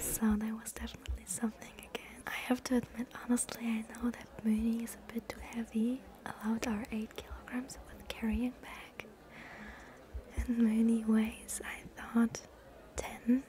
So that was definitely something again. I have to admit, honestly, I know that Mooney is a bit too heavy. Allowed our 8 kilograms with carrying bag. And Mooney weighs, I thought, 10.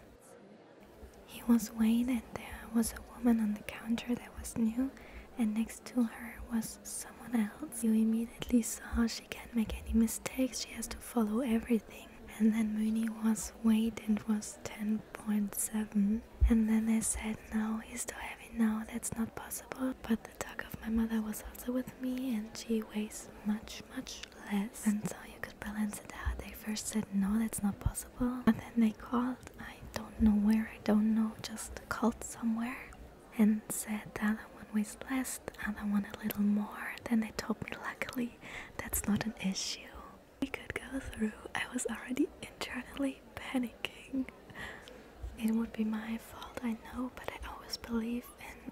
He was weighed and there was a woman on the counter that was new and next to her was some someone else, you immediately saw she can't make any mistakes, she has to follow everything. And then Mooney was weight and was 10.7. And then they said, No, he's too heavy now, that's not possible. But the dog of my mother was also with me and she weighs much, much less. And so you could balance it out. They first said, No, that's not possible. And then they called, I don't know where, I don't know, just called somewhere and said the other one weighs less, the other one a little more. Then they told me, luckily, that's not an issue. We could go through. I was already internally panicking. It would be my fault, I know, but I always believe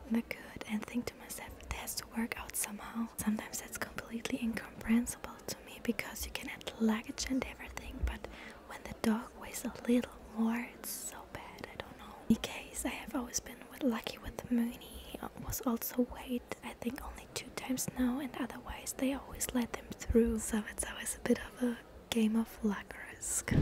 in the good and think to myself, it has to work out somehow. Sometimes that's completely incomprehensible to me because you can add luggage and everything, but when the dog weighs a little more, it's so bad, I In case I have always been lucky with the Mooney, uh, was also weighed I think only two times now and otherwise they always let them through. So it's always a bit of a game of luck risk.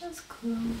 That's closed.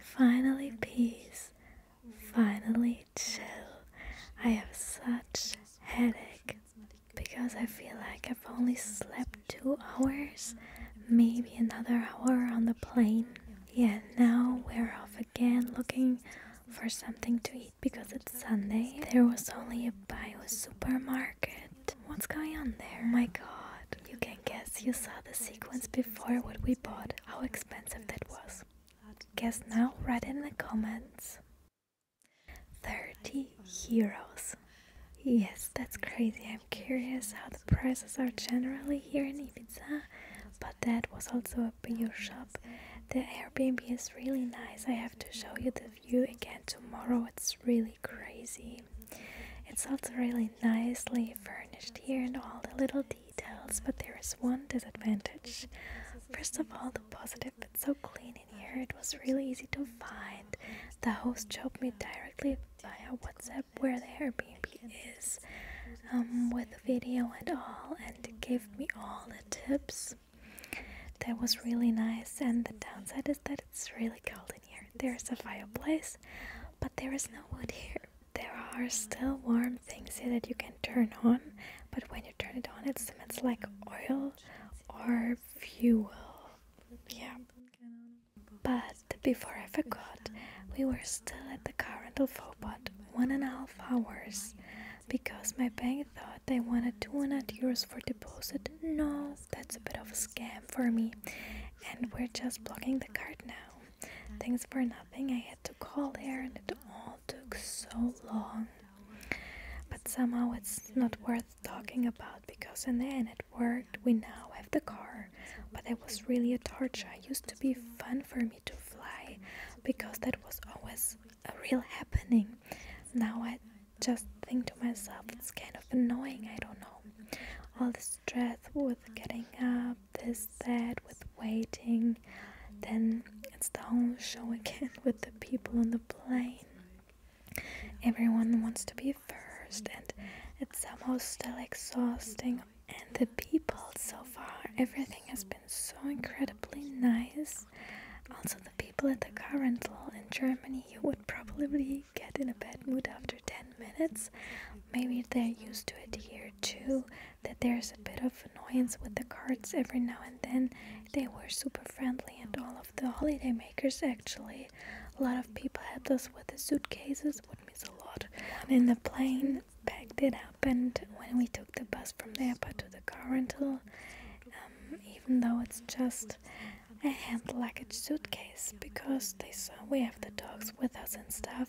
finally peace, finally chill. I have such headache because I feel like I've only slept two hours, maybe another hour on the plane. Yeah, now we're off again looking for something to eat. Because it's Sunday, there was only a bio supermarket. What's going on there? Oh my god. You can guess you saw the sequence before what we bought, how expensive that was. Guess now, write in the comments. 30 euros. Yes, that's crazy. I'm curious how the prices are generally here in Ibiza, but that was also a bio shop. The Airbnb is really nice. I have to show you the you again tomorrow. It's really crazy. It's also really nicely furnished here and all the little details, but there is one disadvantage. First of all, the positive, it's so clean in here. It was really easy to find. The host showed me directly via WhatsApp where the Airbnb is, um, with video and all, and gave me all the tips. That was really nice, and the downside is that it's really cold in here. There is a fireplace, but there is no wood here. There are still warm things here that you can turn on, but when you turn it on, it emits like oil or fuel. Yeah. But before I forgot, we were still at the car rental Fobot one and a half hours because my bank thought they wanted 200 euros for deposit. No, that's a bit of a scam for me. And we're just blocking the card now. Thanks for nothing. I had to call there and it all took so long. But somehow it's not worth talking about because in the end it worked. We now have the car. But it was really a torture. It used to be fun for me to fly because that was always a real happening. Now I just think to myself, it's kind of annoying, I don't know. All the stress with getting up, this, that, with waiting, then it's the whole show again with the people on the plane. Everyone wants to be first, and it's somehow still uh, exhausting. And the people so far, everything has been so incredibly nice also, the people at the car rental in Germany, you would probably get in a bad mood after 10 minutes. Maybe they're used to it here too, that there's a bit of annoyance with the carts every now and then. They were super friendly, and all of the holidaymakers actually. A lot of people helped us with the suitcases, would miss a lot. One in the plane packed it up, and when we took the bus from the airport to the car rental, um, even though it's just a hand luggage suitcase because we have the dogs with us and stuff.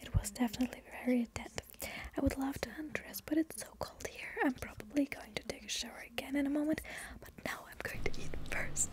It was definitely very attentive. I would love to undress, but it's so cold here. I'm probably going to take a shower again in a moment, but now I'm going to eat first.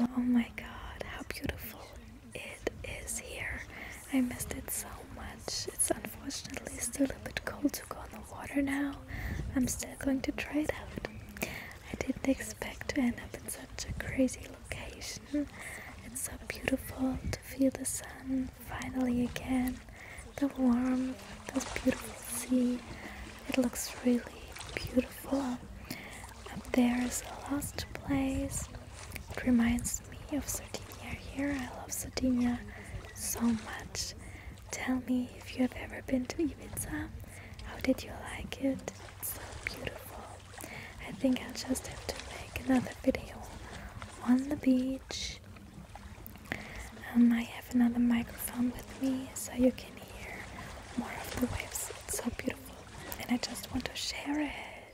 Oh my god, how beautiful it is here. I missed it so much. It's unfortunately still a bit cold to go on the water now. I'm still going to try it out. I didn't expect to end up in such a crazy location. It's so beautiful to feel the sun finally again, the warmth, this beautiful sea. It looks really beautiful. Up there is a lost place. It reminds me of Sardinia here. I love Sardinia so much. Tell me if you have ever been to Ibiza. How did you like it? It's so beautiful. I think I'll just have to make another video on the beach. Um, I have another microphone with me so you can hear more of the waves. It's so beautiful. And I just want to share it.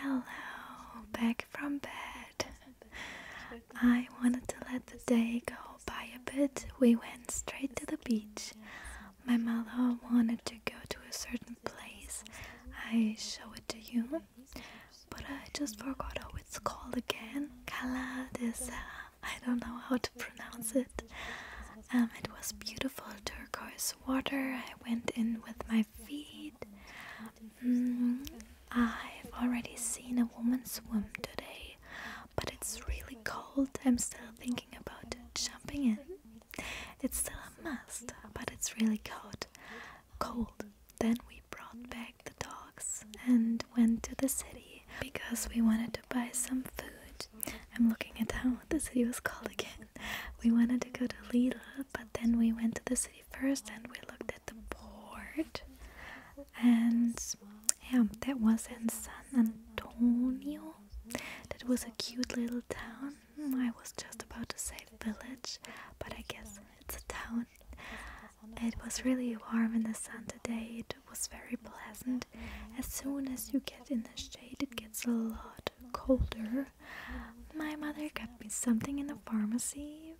Hello, back from bed. I wanted to let the day go by a bit. We went straight to the beach. My mother wanted to go to a certain place. I show it to you but I just forgot how it's called again. Cala I don't know how to pronounce it. Um, it was beautiful turquoise water. I went in with my feet. Mm, I've already seen a woman swim today, but it's really cold. I'm still thinking about jumping in. It's still a must, but it's really cold. Cold. Then we brought back the dogs and went to the city because we wanted to buy some food. I'm looking at how the city was called again. We wanted to go to Lila, but then we went to the city first and we looked at the port. And yeah, that was in San Antonio. That was a cute little town. I was just about to say village, but I guess it's a town it was really warm in the sun today, it was very pleasant. As soon as you get in the shade, it gets a lot colder. My mother got me something in the pharmacy.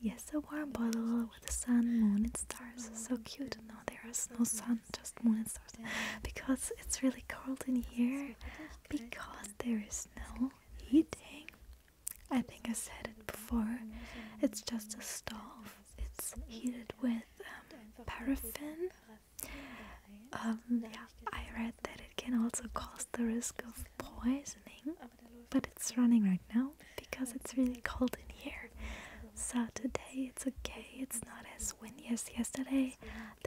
Yes, a warm bottle with the sun, moon, and stars. So cute. No, there is no sun, just moon and stars. Because it's really cold in here, because there is no heating. I think I said it before. It's just a stove. It's heated with um, paraffin. Um, yeah, I read that it can also cause the risk of poisoning, but it's running right now because it's really cold in here. So today it's okay. It's not as windy as yesterday.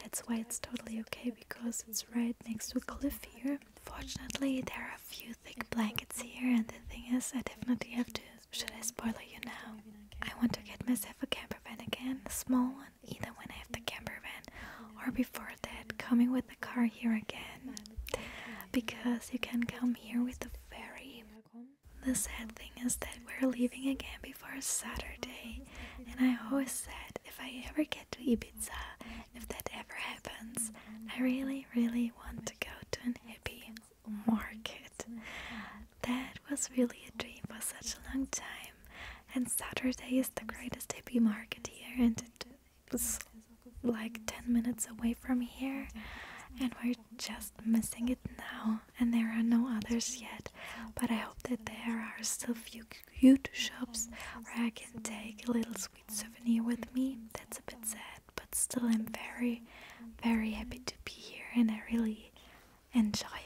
That's why it's totally okay because it's right next to a cliff here. Fortunately, there are a few thick blankets here, and the thing is, I definitely have to. Should I spoil you now? I want to get myself a camper van again, a small one, either when I have the camper van or before that, coming with the car here again. Because you can come here with the ferry. The sad thing is that we're leaving again before Saturday, and I always said if I ever get to Ibiza, if that ever happens, I really, really want to go to an hippie market. That was really a dream for such a long time, and Saturday is the greatest hippie market here, and it's like 10 minutes away from here, and we're just missing it now. And there are no others yet, but I hope that there are still few cute shops where I can take a little sweet souvenir with me. That's a bit sad, but still, I'm very, very happy to be here and I really enjoy it.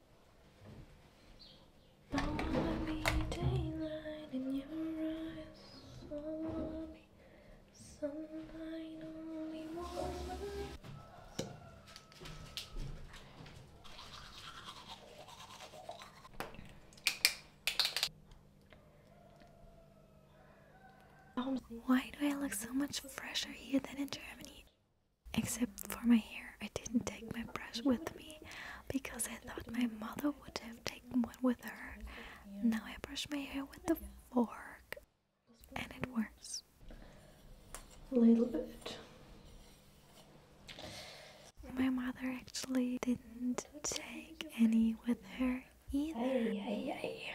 Why do I look so much fresher here than in Germany? Except for my hair, I didn't take my brush with me because I thought my mother would have taken one with her. Now I brush my hair with the fork and it works. A little bit. My mother actually didn't take any with her either. Aye, aye,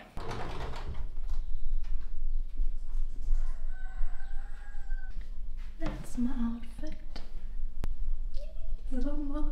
it's my outfit. Zoma.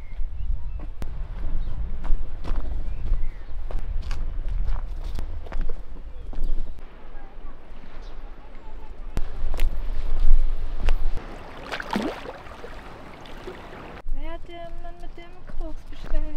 Wer hat der Mann mit dem Koks bestellt?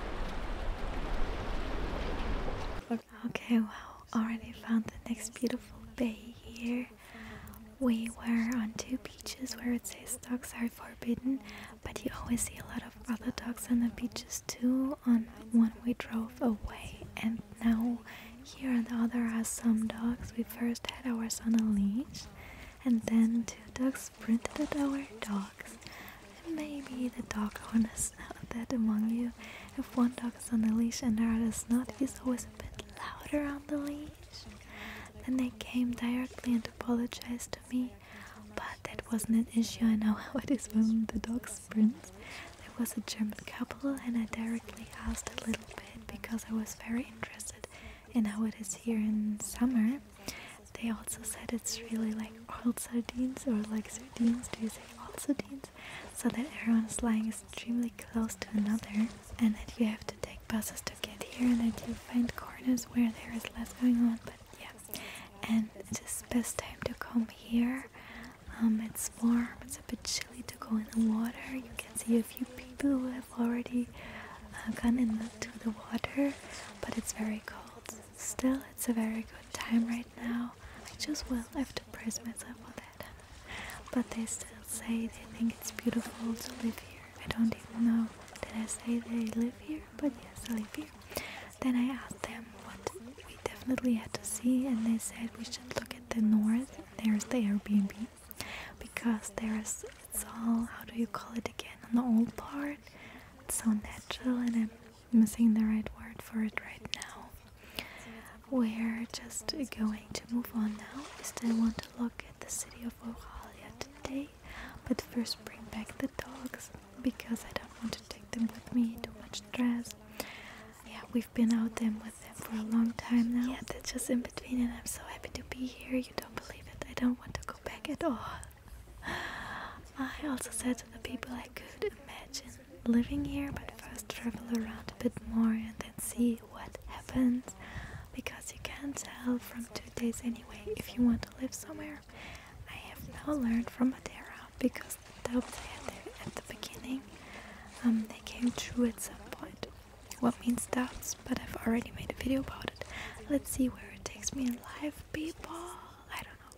Okay, well, already found the next beautiful bay here. We were on two beaches where it says dogs are forbidden, but you always see a lot of other dogs on the beaches too. On one we drove away, and now here on the other are some dogs. We first had ours on a leash, and then two dogs sprinted at our dogs maybe the dog owner is not that among you. If one dog is on the leash and the other is not, he's always a bit louder on the leash. Then they came directly and apologized to me, but that wasn't an issue. I know how it is when the dog sprints. There was a German couple, and I directly asked a little bit because I was very interested in how it is here in summer. They also said it's really like old sardines or like sardines. Do you say old sardines? So that everyone is lying extremely close to another, and that you have to take buses to get here, and that you find corners where there is less going on. But yeah, and it is just best time to come here. Um, it's warm. It's a bit chilly to go in the water. You can see a few people who have already uh, gone into the water, but it's very cold. Still, it's a very good time right now. I just will have to praise myself for that. But they still say they think it's beautiful to live here. I don't even know. Did I say they live here? But yes, I live here. Then I asked them what we definitely had to see, and they said we should look at the north. There's the Airbnb because there's it's all how do you call it again on the old part. It's so natural, and I'm I'm saying the right word for it right now. We're just going to move on now. We still want to look at the city of Oralia today, but first bring back the dogs because I don't want to take them with me. Too much stress. Yeah, we've been out there with them for a long time now. Yeah, they're just in between, and I'm so happy to be here. You don't believe it? I don't want to go back at all. I also said to the people I could imagine living here, but first travel around a bit more and then see what happens because you can't tell from two days anyway if you want to live somewhere. I have now learned from Madeira because the doubts I had there at the beginning um, they came true at some point. What means doubts? But I've already made a video about it. Let's see where it takes me in life, people. I don't know.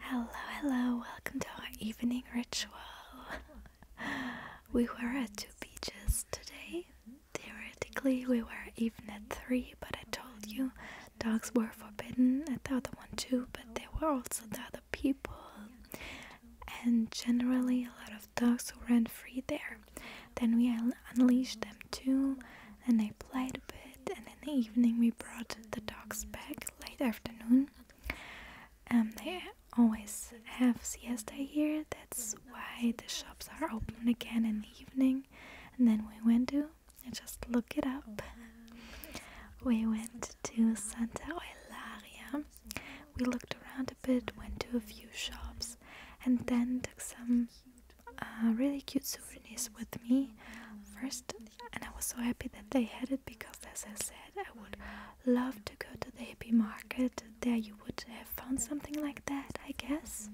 Hello, hello, welcome to our evening ritual. we were at two beaches today. Theoretically, we were even at three, but I told you dogs were forbidden at the other one too, but there were also the other people. And generally, a lot of dogs ran free there. Then we unleashed them too, and they played a bit. And in the evening, we brought the dogs back late afternoon. And um, they always have siesta here, that's why the shops are open again in the evening. And then we went to, just look it up, we went to Santa Eulalia. We looked around a bit, went to a few shops, and then took some really cute souvenirs with me first, and I was so happy that they had it because, as I said, I would love to go to the hippie market. There, you would have found something like that, I guess.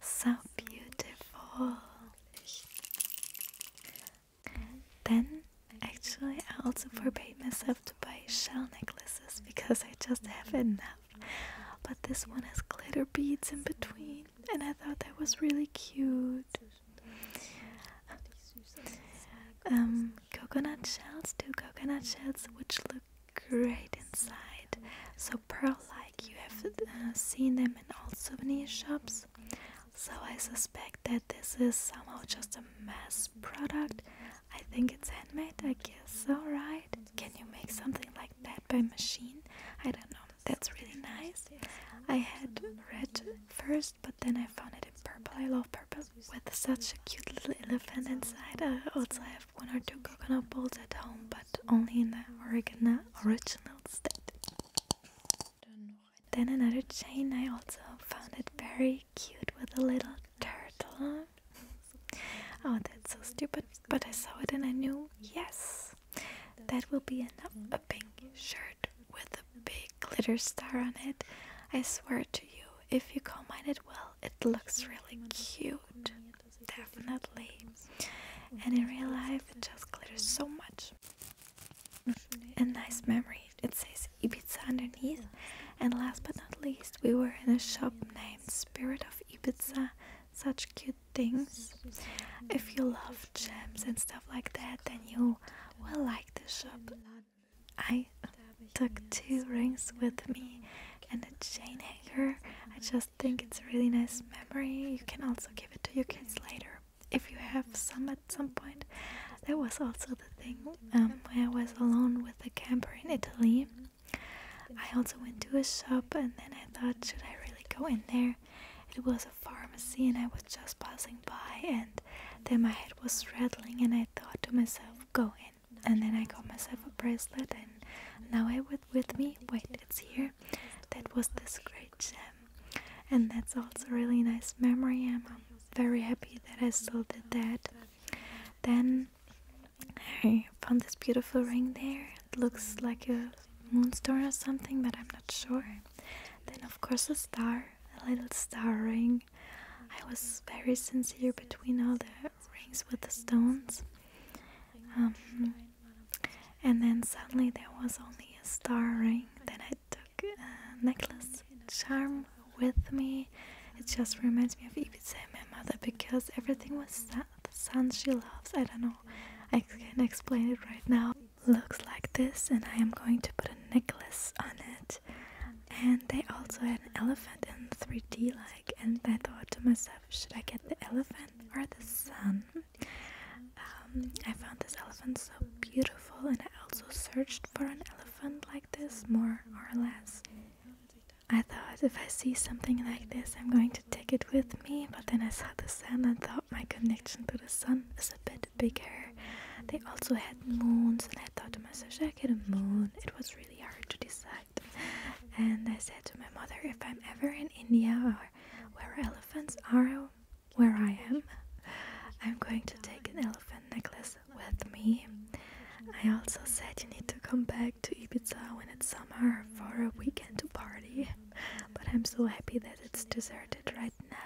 So beautiful. Then Actually, I also forbade myself to buy shell necklaces because I just have enough. But this one has glitter beads in between, and I thought that was really cute. Um, coconut shells, two coconut shells, which look great inside. So pearl-like, you have uh, seen them in all souvenir shops. So I suspect that this is somehow just a mass product I think it's handmade, I guess alright. Can you make something like that by machine? I don't know, that's really nice. I had red first, but then I found it in purple. I love purple with such a cute little elephant inside. I also have one or two coconut balls at home, but only in the original, original state. Then another chain, I also found it very cute with a little Turtle. Oh, that's so stupid. But I saw it and I knew, yes, that will be enough. A pink shirt with a big glitter star on it. I swear to you, if you combine it well, it looks really cute. Definitely. And in real life, it just glitters so much. A nice memory it says Ibiza underneath. And last but not least, we were in a shop named Spirit of Ibiza. Such cute things. If you love gems and stuff like that, then you will like this shop. I took two rings with me and a chain hanger. I just think it's a really nice memory. You can also give it to your kids later if you have some at some point. That was also the thing um, I was alone with a camper in Italy. I also went to a shop and then I thought, should I really go in there? It was a pharmacy and I was just passing by and then my head was rattling and I thought to myself, go in. And then I got myself a bracelet and now I have with me, wait, it's here. That was this great gem. And that's also a really nice memory. I'm very happy that I still did that. Then I found this beautiful ring there. It looks like a moonstone or something, but I'm not sure. Then, of course, a star, a little star ring. I was very sincere between all the rings with the stones. Um, and then suddenly there was only a star ring. Then I took a necklace charm with me. It just reminds me of Ibiza and my mother because everything was that the sun she loves. I don't know. I can't explain it right now. Looks like this, and I am going to put a necklace on it. And they also had an elephant in 3D like, and I thought to myself, should I get the elephant or the sun? Um, I found this elephant so beautiful, and I also searched for an elephant like this, more or less. I thought if I see something like this, I'm going to take it with me, but then I saw the sun and thought my connection to the sun is a bit bigger. They also had moons, and I thought to myself, should I get a moon? It was really hard to decide. And I said to my mother, if I'm ever in India or where elephants are, where I am, I'm going to take an elephant necklace with me. I also said you need to come back to Ibiza when it's summer for a weekend to party. But I'm so happy that it's deserted right now.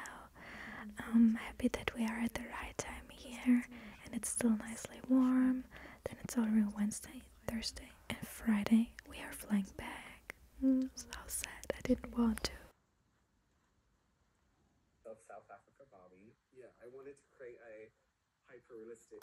I'm happy that we are at the right time here and it's still nicely warm. Then it's already Wednesday, Thursday, and Friday. We are flying back. Mm, so sad. I didn't want to. Of South Africa, Bobby. Yeah, I wanted to create a hyper-realistic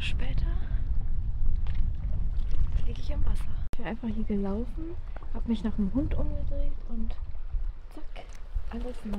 später liege ich am Wasser. Ich bin einfach hier gelaufen habe mich nach dem Hund umgedreht und zack, alles nass.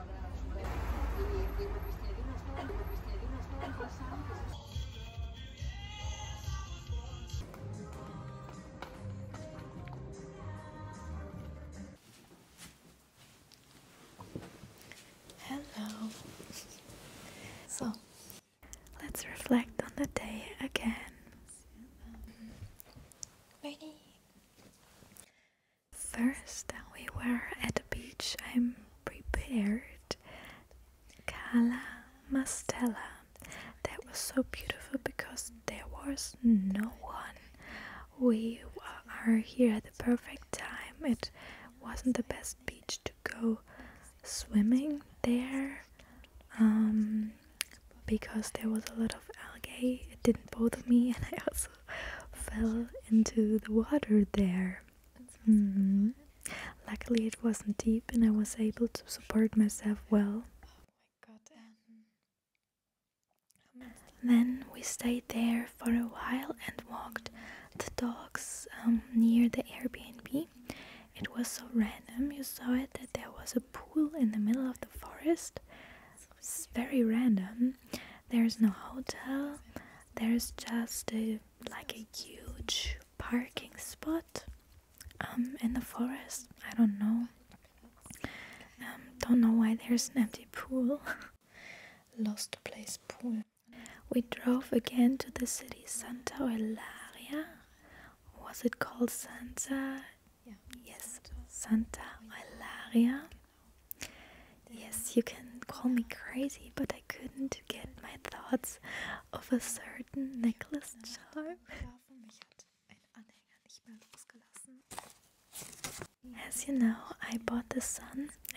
Hello. So, let's reflect on the day again. Ready? First, we were at the beach. I'm prepared. Cala Mastella. That was so beautiful because there was no one. We are here at the perfect time. It wasn't the best beach to go swimming there um, because there was a lot of algae. It didn't bother me, and I also fell into the water there. Mm-hmm. Luckily, it wasn't deep, and I was able to support myself well. then we stayed there for a while and walked the dogs um, near the Airbnb. It was so random, you saw it, that there was a pool in the middle of the forest. It's very random. There's no hotel, there's just a, like a huge parking spot um, in the forest. I don't know. Um, don't know why there's an empty pool. Lost place pool. We drove again to the city Santa Eulalia. Was it called Santa? Yeah. Yes, Santa Eulalia. Yes, you can call me crazy, but I couldn't get my thoughts of a certain necklace charm. As you know, I bought the sun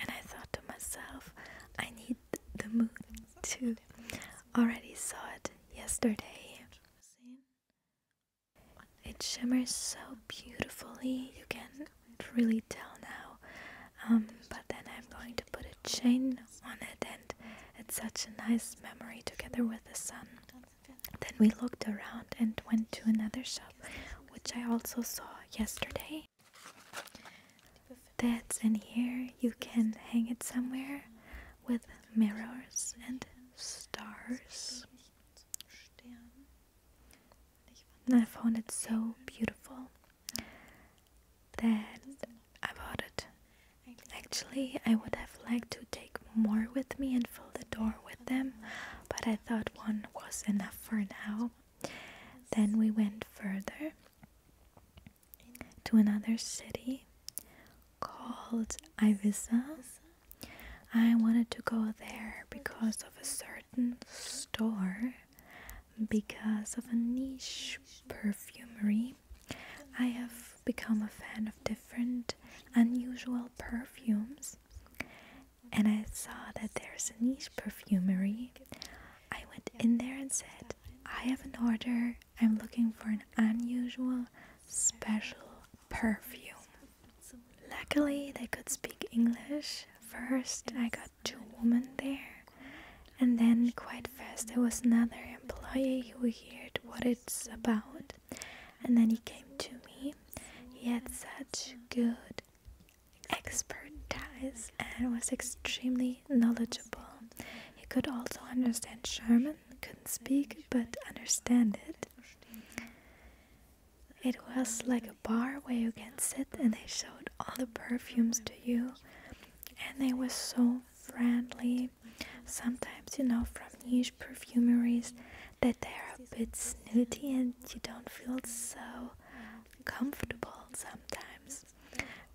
and I thought to myself, I need the moon too. Already saw it yesterday. It shimmers so beautifully, you can can't really tell now. Um, but then I'm going to put a chain on it, and it's such a nice memory together with the sun. Then we looked around and went to another shop, which I also saw yesterday. That's in here. You can hang it somewhere with mirrors and stars. And I found it so beautiful that about it. Actually, I would have liked to take more with me and fill the door with them, but I thought one was enough for now. Then we went further to another city called Ibiza. I wanted to go there because of a certain store because of a niche perfumery. I have become a fan of different unusual perfumes, and I saw that there's a niche perfumery. I went in there and said, I have an order, I'm looking for an unusual, special perfume. Luckily, they could speak English first I got two women there, and then quite fast there was another employee who heard what it's about, and then he came to me. He had such good expertise and was extremely knowledgeable. He could also understand German, couldn't speak but understand it. It was like bar where you can sit and they showed all the perfumes to you and they were so friendly. Sometimes you know from niche perfumeries that they are a bit snooty and you don't feel so comfortable sometimes.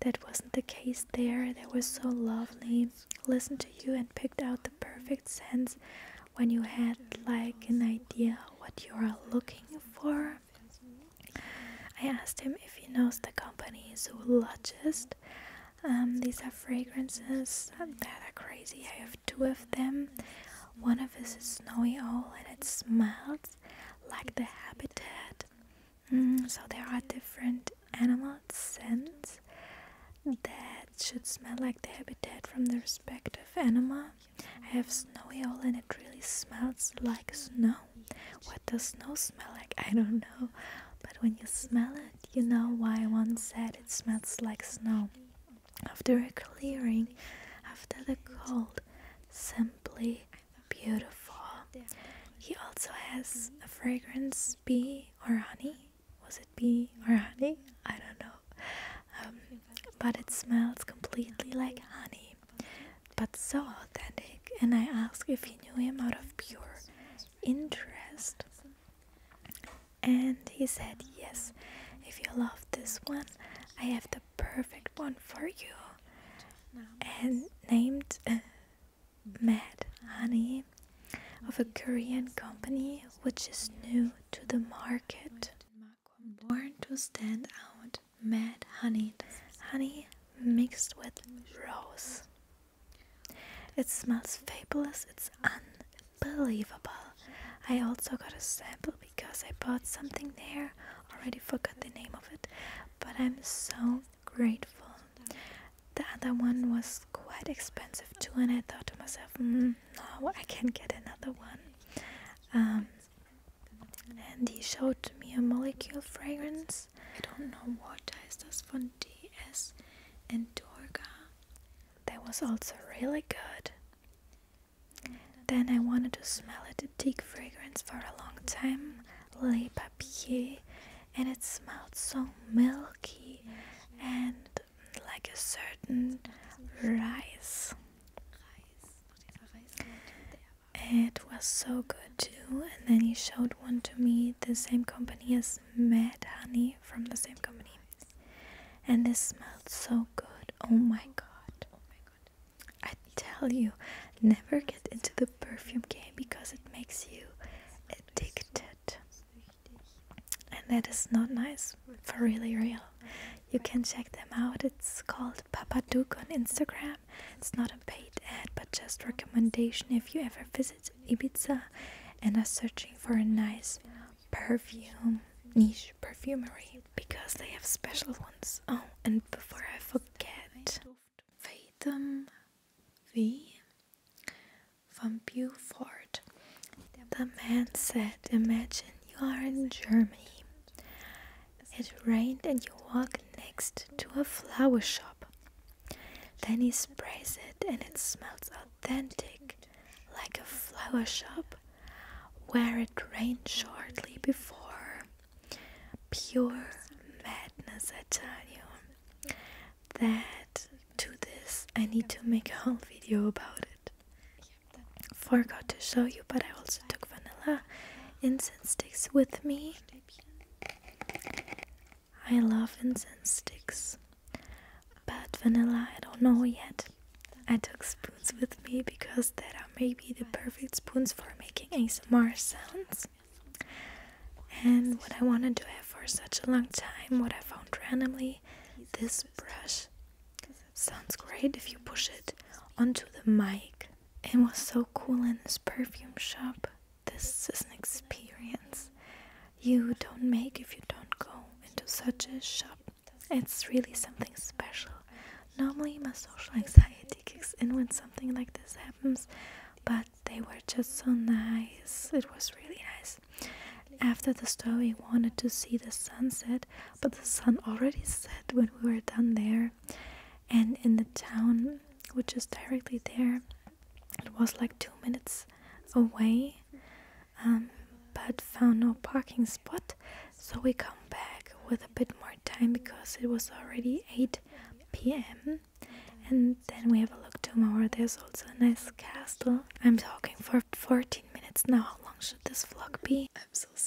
That wasn't the case there. They were so lovely, listened to you and picked out the perfect scent when you had like an idea what you are looking for I asked him if he knows the company Zoologist. Um, these are fragrances that are crazy. I have two of them. One of this is Snowy Owl and it smells like the habitat. Mm, so there are different animal scents that should smell like the habitat from the respective animal. I have snowy owl and it really smells like snow. What does snow smell like? I don't know. But when you smell it, you know why one said it smells like snow. After a clearing, after the cold, simply beautiful. He also has a fragrance bee or honey. Was it bee or honey? I don't know. Um, but it smells completely like honey but so authentic, and I asked if he knew him out of pure interest. And he said, Yes, if you love this one, I have the perfect one for you. And named uh, Mad Honey of a Korean company which is new to the market. Born to stand out, mad honey. Honey mixed with rose. It smells fabulous, it's unbelievable. I also got a sample because I bought something there, already forgot the name of it, but I'm so grateful. The other one was quite expensive too, and I thought to myself, mm, no, I can get another one. Um, and he showed me a molecule fragrance. I don't know what is this from DS and Dorga. That was also really good. Then I wanted to smell a deep fragrance for a long time, Le Papier, and it smelled so milky and like a certain rice. It was so good too. And then he showed one to me, the same company as Mad Honey from the same company. And this smelled so good. Oh my god. Oh my god. I tell you, never get into the perfume game because it makes you addicted. And that is not nice for really real. You can check them out. It's called Papaduke on Instagram it's not a paid ad, but just recommendation if you ever visit Ibiza and are searching for a nice perfume niche perfumery because they have special ones. Oh, and before I forget, Fathom V from Beaufort. The man said, Imagine you are in Germany it rained, and you walk next to a flower shop. Then he sprays it, and it smells authentic, like a flower shop where it rained shortly before. Pure madness, I tell you. That to this, I need to make a whole video about it. Forgot to show you, but I also. I took vanilla incense sticks with me. I love incense sticks, but vanilla I don't know yet. I took spoons with me because that are maybe the perfect spoons for making ASMR sounds. And what I wanted to have for such a long time, what I found randomly, this brush sounds great if you push it onto the mic and was so cool in this perfume shop. This is an experience you don't make if you don't go into such a shop. It's really something special. Normally, my social anxiety kicks in when something like this happens, but they were just so nice. It was really nice. After the store, we wanted to see the sunset, but the sun already set when we were done there, and in the town which is directly there it was like two minutes away um, but found no parking spot so we come back with a bit more time because it was already 8 p.m and then we have a look tomorrow there's also a nice castle i'm talking for 14 minutes now how long should this vlog be i'm so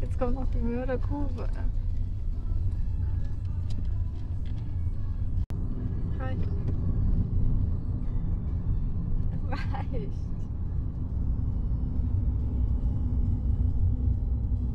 Jetzt kommt noch die Mörder Kurve. Hi. Es weicht.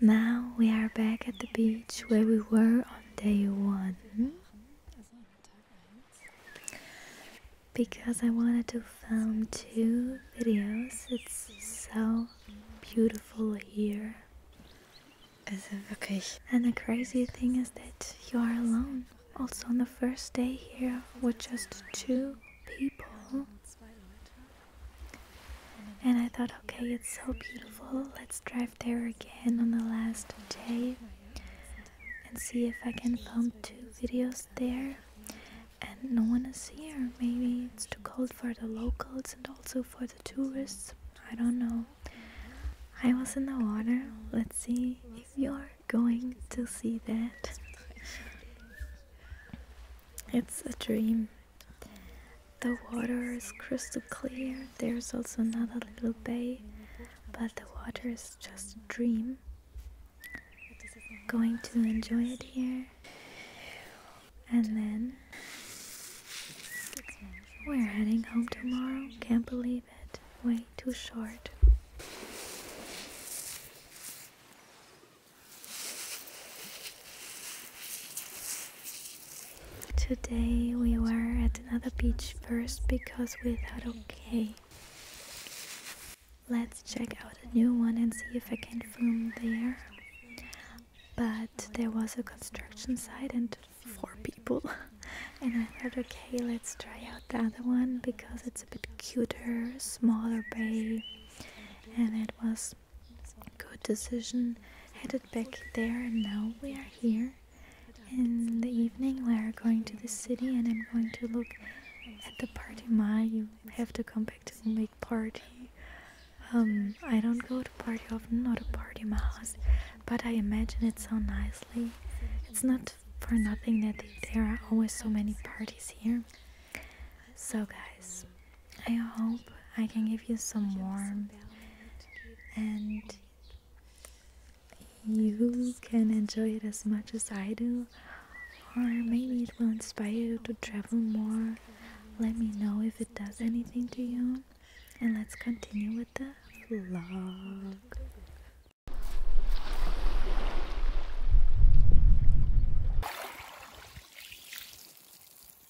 Now we are back at the beach where we were on day one. Because I wanted to film two videos, it's so beautiful here. And the crazy thing is that you are alone. Also on the first day here with just two people. And I thought, okay, it's so beautiful. Let's drive there again on the last day and see if I can film two videos there. And no one is here. Maybe it's too cold for the locals and also for the tourists. I don't know. I was in the water. Let's see if you're going to see that. It's a dream. The water is crystal clear. There's also another little bay, but the water is just a dream. Going to enjoy it here. And then we're heading home tomorrow. Can't believe it. Way too short. Today we were at another beach first because we thought okay. Let's check out a new one and see if I can film there. But there was a construction site and four people. and I thought okay, let's try out the other one because it's a bit cuter, smaller bay and it was Good decision. Headed back there and now we are here. In the evening we are going to the city and I'm going to look at the party ma. You have to come back to make party. Um, I don't go to party often, not a party mouse, but I imagine it so nicely. It's not for nothing that there are always so many parties here. So guys, I hope I can give you some warmth and you can enjoy it as much as I do, or maybe it will inspire you to travel more. Let me know if it does anything to you, and let's continue with the vlog.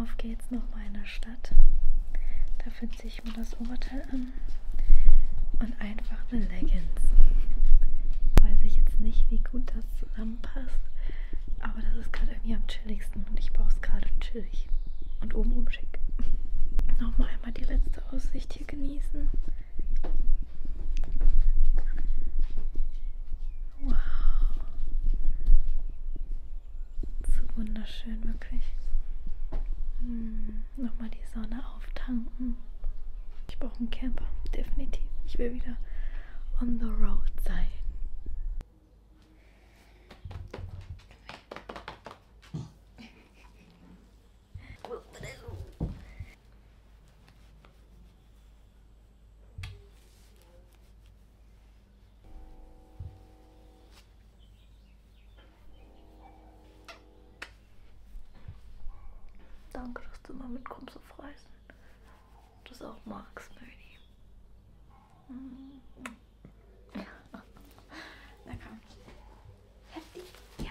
Auf geht's nochmal in der Stadt. Dafür ziehe ich mir das Oberteil an und einfach eine Leggings. Weiß ich jetzt nicht, wie gut das zusammenpasst, aber das ist gerade irgendwie am chilligsten und ich brauche es gerade chillig und obenrum schick. Nochmal einmal die letzte Aussicht hier genießen. Wow. So wunderschön, wirklich. Hm, Nochmal die Sonne auftanken. Ich brauche einen Camper, definitiv. Ich will wieder on the road sein. Danke, dass du immer mitkommst auf Reisen. Das auch magst, Möni. Mhm. Ja. Lecker. Heftig? Ja.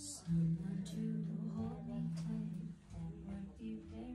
Someone to hold me tight, that might be very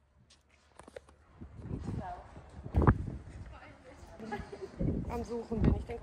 Am Suchen bin ich, denke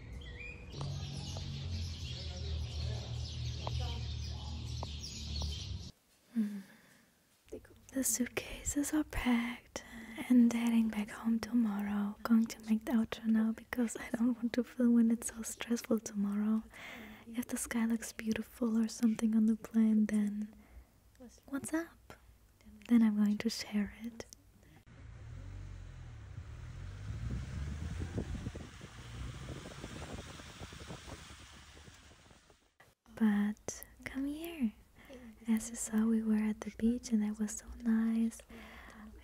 Mm-hmm. The suitcases are packed and heading back home tomorrow. Going to make the outro now because I don't want to feel when it's so stressful tomorrow. If the sky looks beautiful or something on the plane, then what's up? Then I'm going to share it. But come here. As you saw, we were at the beach and that was so nice.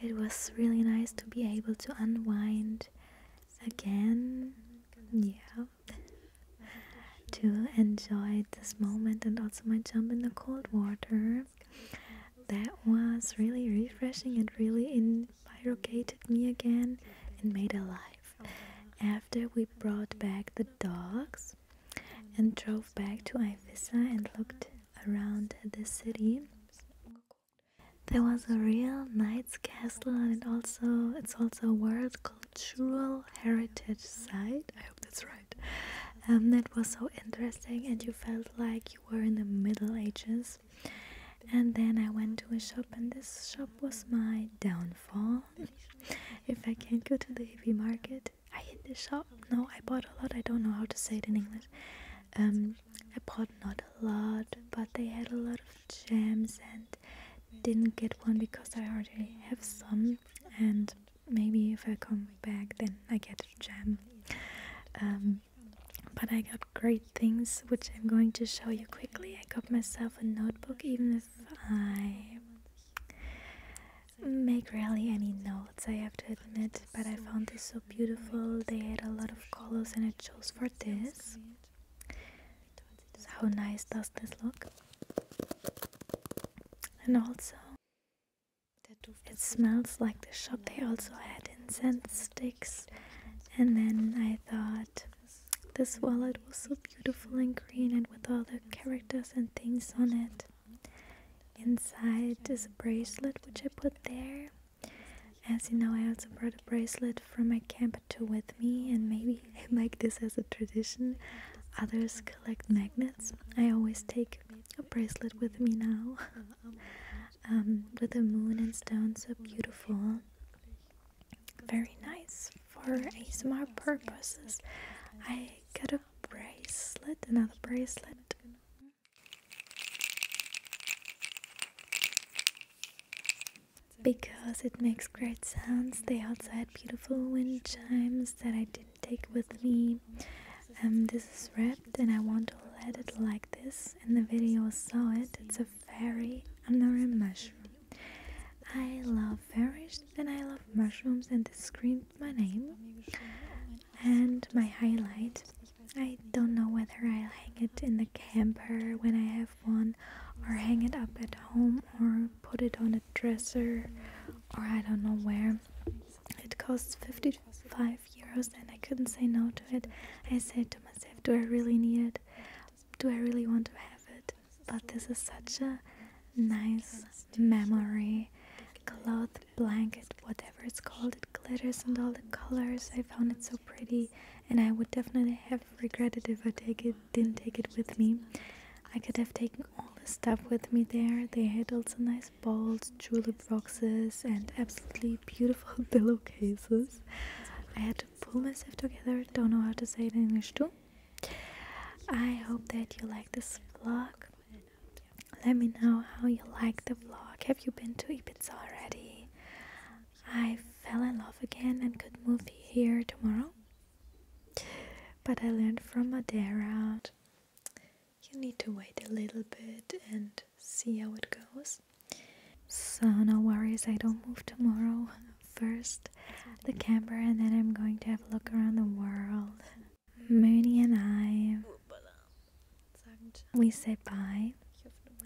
It was really nice to be able to unwind again. Yeah. to enjoy this moment and also my jump in the cold water. That was really refreshing and really in men barricaded me again and made alive. After we brought back the dogs and drove back to Ifissa and looked around the city. There was a real knight's castle and it also it's also a world cultural heritage site. I hope that's right. Um, that was so interesting and you felt like you were in the Middle Ages and then I went to a shop, and this shop was my downfall. if I can't go to the heavy market, I hit the shop. No, I bought a lot. I don't know how to say it in English. Um, I bought not a lot, but they had a lot of jams, and didn't get one because I already have some. And maybe if I come back, then I get a gem but I got great things which I'm going to show you quickly. I got myself a notebook, even if I make rarely any notes, I have to admit, but I found this so beautiful. They had a lot of colors and I chose for this. how nice does this look? And also, it smells like the shop. They also had incense sticks, and then I thought this wallet was so beautiful and green and with all the characters and things on it. Inside is a bracelet which I put there. As you know, I also brought a bracelet from my camp to with me, and maybe I like this as a tradition. Others collect magnets. I always take a bracelet with me now, um, with the moon and stone so beautiful very nice for ASMR purposes. I got a bracelet, another bracelet. Because it makes great sounds, the outside beautiful wind chimes that I didn't take with me. Um, this is wrapped and I want to let it like this. And the video, saw it. It's a a very a mushroom. I love fairies and I love mushrooms and they screamed my name. And my highlight, I don't know whether I'll hang it in the camper when I have one or hang it up at home or put it on a dresser or I don't know where. It costs 55 euros and I couldn't say no to it. I said to myself, do I really need it? Do I really want to have it? But this is such a nice memory. Cloth, blanket, whatever it's called, it glitters and all the colors. I found it so pretty, and I would definitely have regretted if I didn't take it with me. I could have taken all the stuff with me there. They had also nice balls, julep boxes, and absolutely beautiful pillowcases. I had pull myself together. Don't know how to say it in English too. I hope that you like this vlog. Let me know how you like the vlog. Have you been to Ibiza already? I fell in love again and could move here tomorrow. But I learned from Madeira. You need to wait a little bit and see how it goes. So no worries, I don't move tomorrow. First the camper and then I'm going to have a look around the world. Mooney and I we said bye.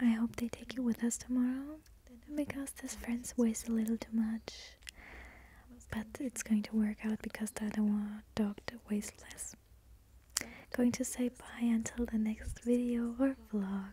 I hope they take you with us tomorrow because this friends weighs a little too much. But it's going to work out because the other one dog weighs less. Going to say bye until the next video or vlog.